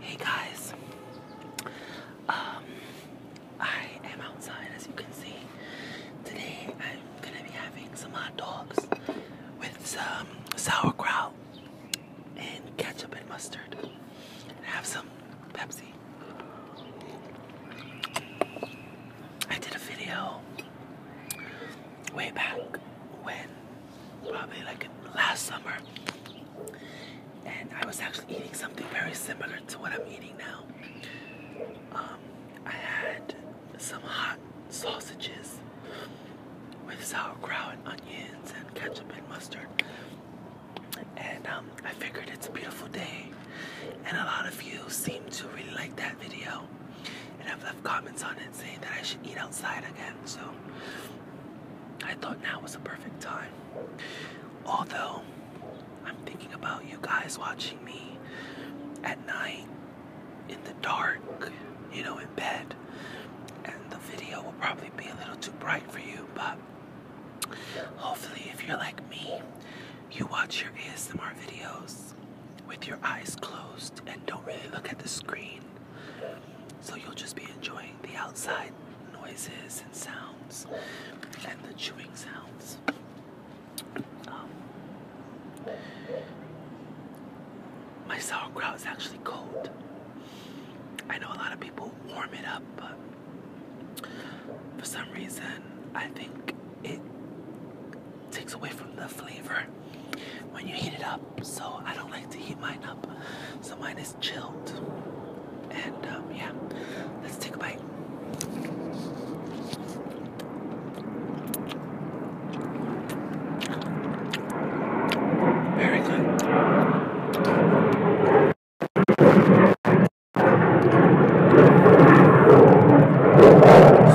Hey guys, um, I am outside as you can see. Today I'm gonna be having some hot dogs with some sauerkraut and ketchup and mustard. And have some Pepsi. I did a video way back when probably like last summer. And I was actually eating something very similar to what I'm eating now. Um, I had some hot sausages with sauerkraut and onions and ketchup and mustard. And um, I figured it's a beautiful day. And a lot of you seem to really like that video. And I've left comments on it and that I should eat outside again. So I thought now was the perfect time. Although I'm thinking about you guys watching me at night in the dark, you know, in bed, and the video will probably be a little too bright for you, but hopefully, if you're like me, you watch your ASMR videos with your eyes closed and don't really look at the screen so you'll just be enjoying the outside noises and sounds and the chewing sounds. Um, my sauerkraut is actually cold. I know a lot of people warm it up, but for some reason, I think it takes away from the flavor when you heat it up so I don't like to heat mine up. So mine is chilled. And um, yeah, let's take a bite. Very good.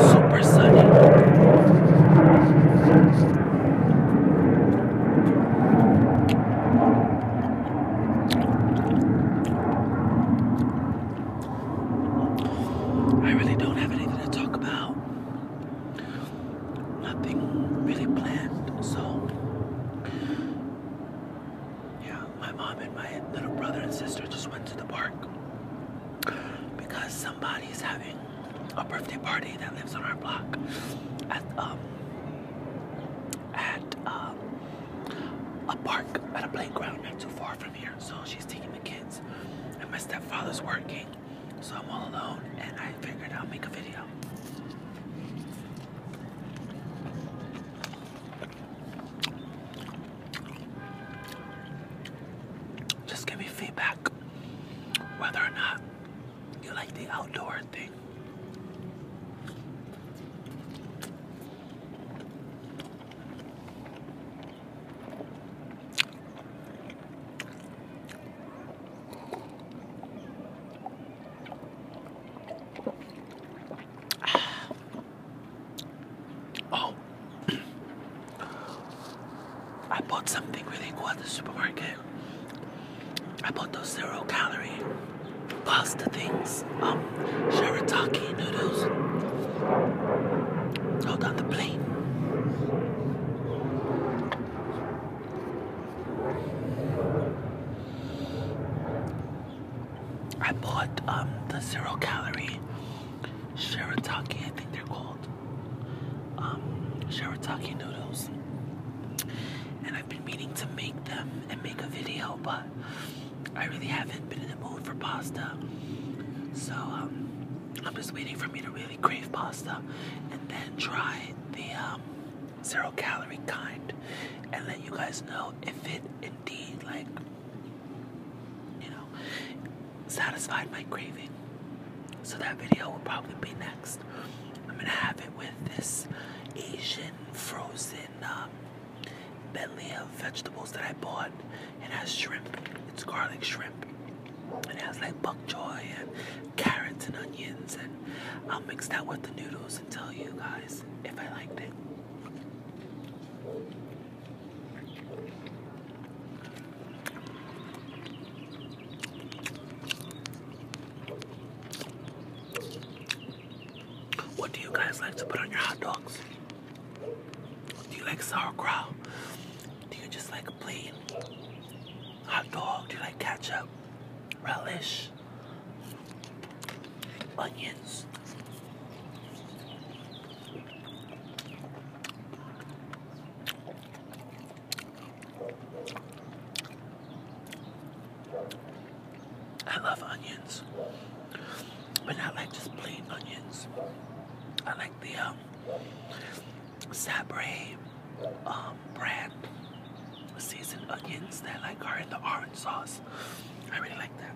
Super sunny. I really don't have anything to talk about. Nothing really planned, so yeah, my mom and my little brother and sister just went to the park because somebody's having a birthday party that lives on our block at um, at um, a park at a playground not too far from here. So she's taking the kids and my stepfather's working. So I'm all alone and I figured I'll make a video. Just give me feedback whether or not you like the outdoor thing. Oh, I bought something really cool at the supermarket. I bought those zero calorie pasta things, um, shirataki noodles. Hold on the plate. I bought um, the zero calorie shirataki, I think they're called called um, shirataki noodles, and I've been meaning to make them and make a video, but I really haven't been in the mood for pasta. So um, I'm just waiting for me to really crave pasta, and then try the um, zero calorie kind, and let you guys know if it indeed like you know satisfied my craving. So that video will probably be next. I'm gonna have it with this Asian frozen um, medley of vegetables that I bought. It has shrimp. It's garlic shrimp. It has like bok choy and carrots and onions, and I'll mix that with the noodles and tell you guys if I liked it. What do you guys like to put on your hot dogs? Do you like sauerkraut? Do you just like plain hot dog? Do you like ketchup, relish, onions? I love onions, but not like just plain onions. I like the um, sabre um, brand seasoned onions that like are in the orange sauce. I really like that.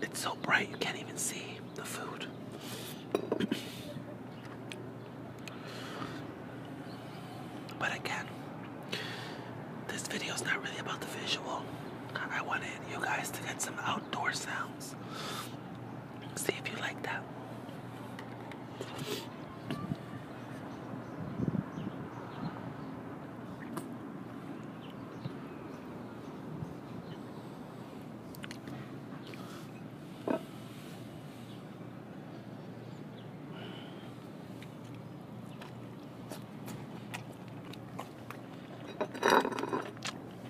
It's so bright you can't even see the food. But again, this video is not really about the visual. I wanted you guys to get some outdoor sounds. See if you like that.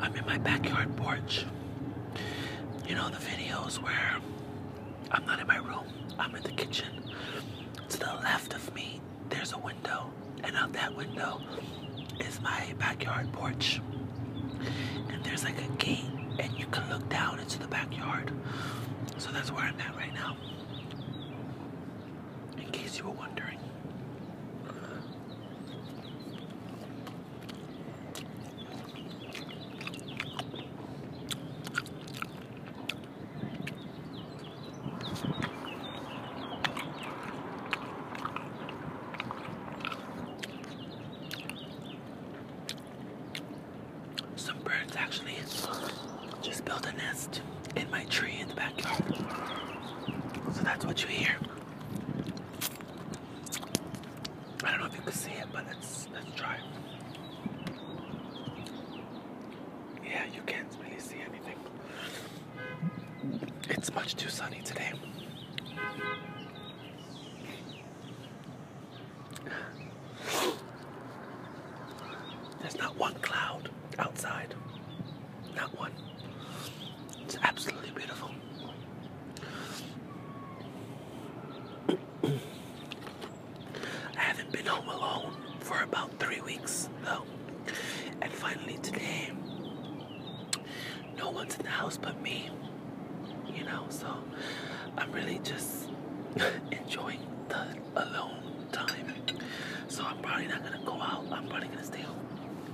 I'm in my backyard porch. You know the videos where I'm not in my room, I'm in the kitchen. To the left of me, there's a window, and out that window is my backyard porch. And there's like a gate, and you can look down into the backyard. So that's where I'm at right now. In case you were wondering. Some birds actually just build a nest in my tree in the backyard. So that's what you hear. I don't know if you can see it, but let's let's try. Yeah, you can't really see anything. It's much too sunny today. There's not one cloud outside. Not one. It's absolutely beautiful. I haven't been home alone for about three weeks though. And finally today, no one's in the house but me. You know, so I'm really just enjoying the alone time. So I'm probably not gonna go out. I'm probably gonna stay home.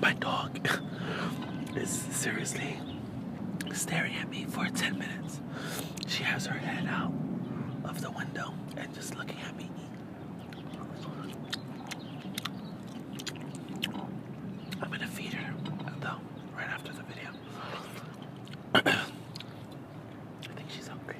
My dog is seriously staring at me for 10 minutes. She has her head out of the window and just looking at me. I'm gonna feed her though, right after the video. I think she's hungry.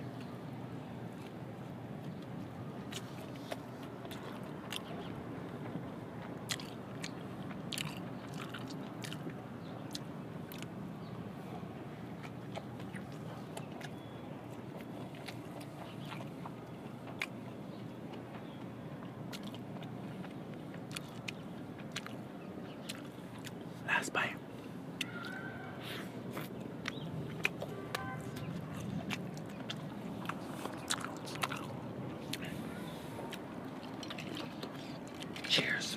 Last bite. Cheers.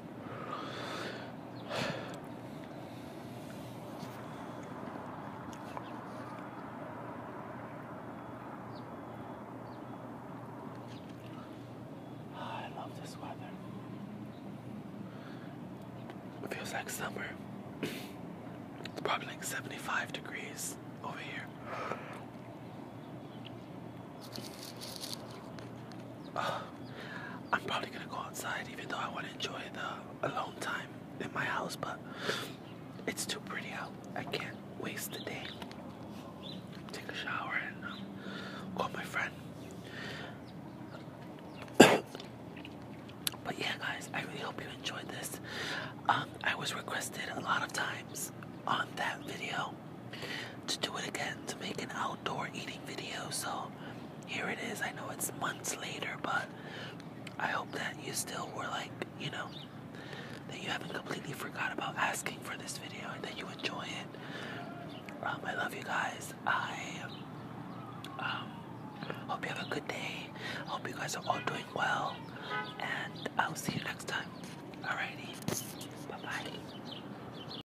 Ah, I love this weather. It feels like summer. It's probably like 75 degrees over here. I'm probably gonna go outside, even though I want to enjoy the alone time in my house, but it's too pretty out. I can't waste the day. Take a shower and um, call my friend. but yeah, guys, I really hope you enjoyed this. Um, I was requested a lot of times on that video to do it again to make an outdoor eating video. So here it is. I know it's months later, but I hope that you still were like, you know, that you haven't completely forgot about asking for this video and that you enjoy it. Um, I love you guys. I um, hope you have a good day. hope you guys are all doing well. And I'll see you next time. Alrighty. Bye bye.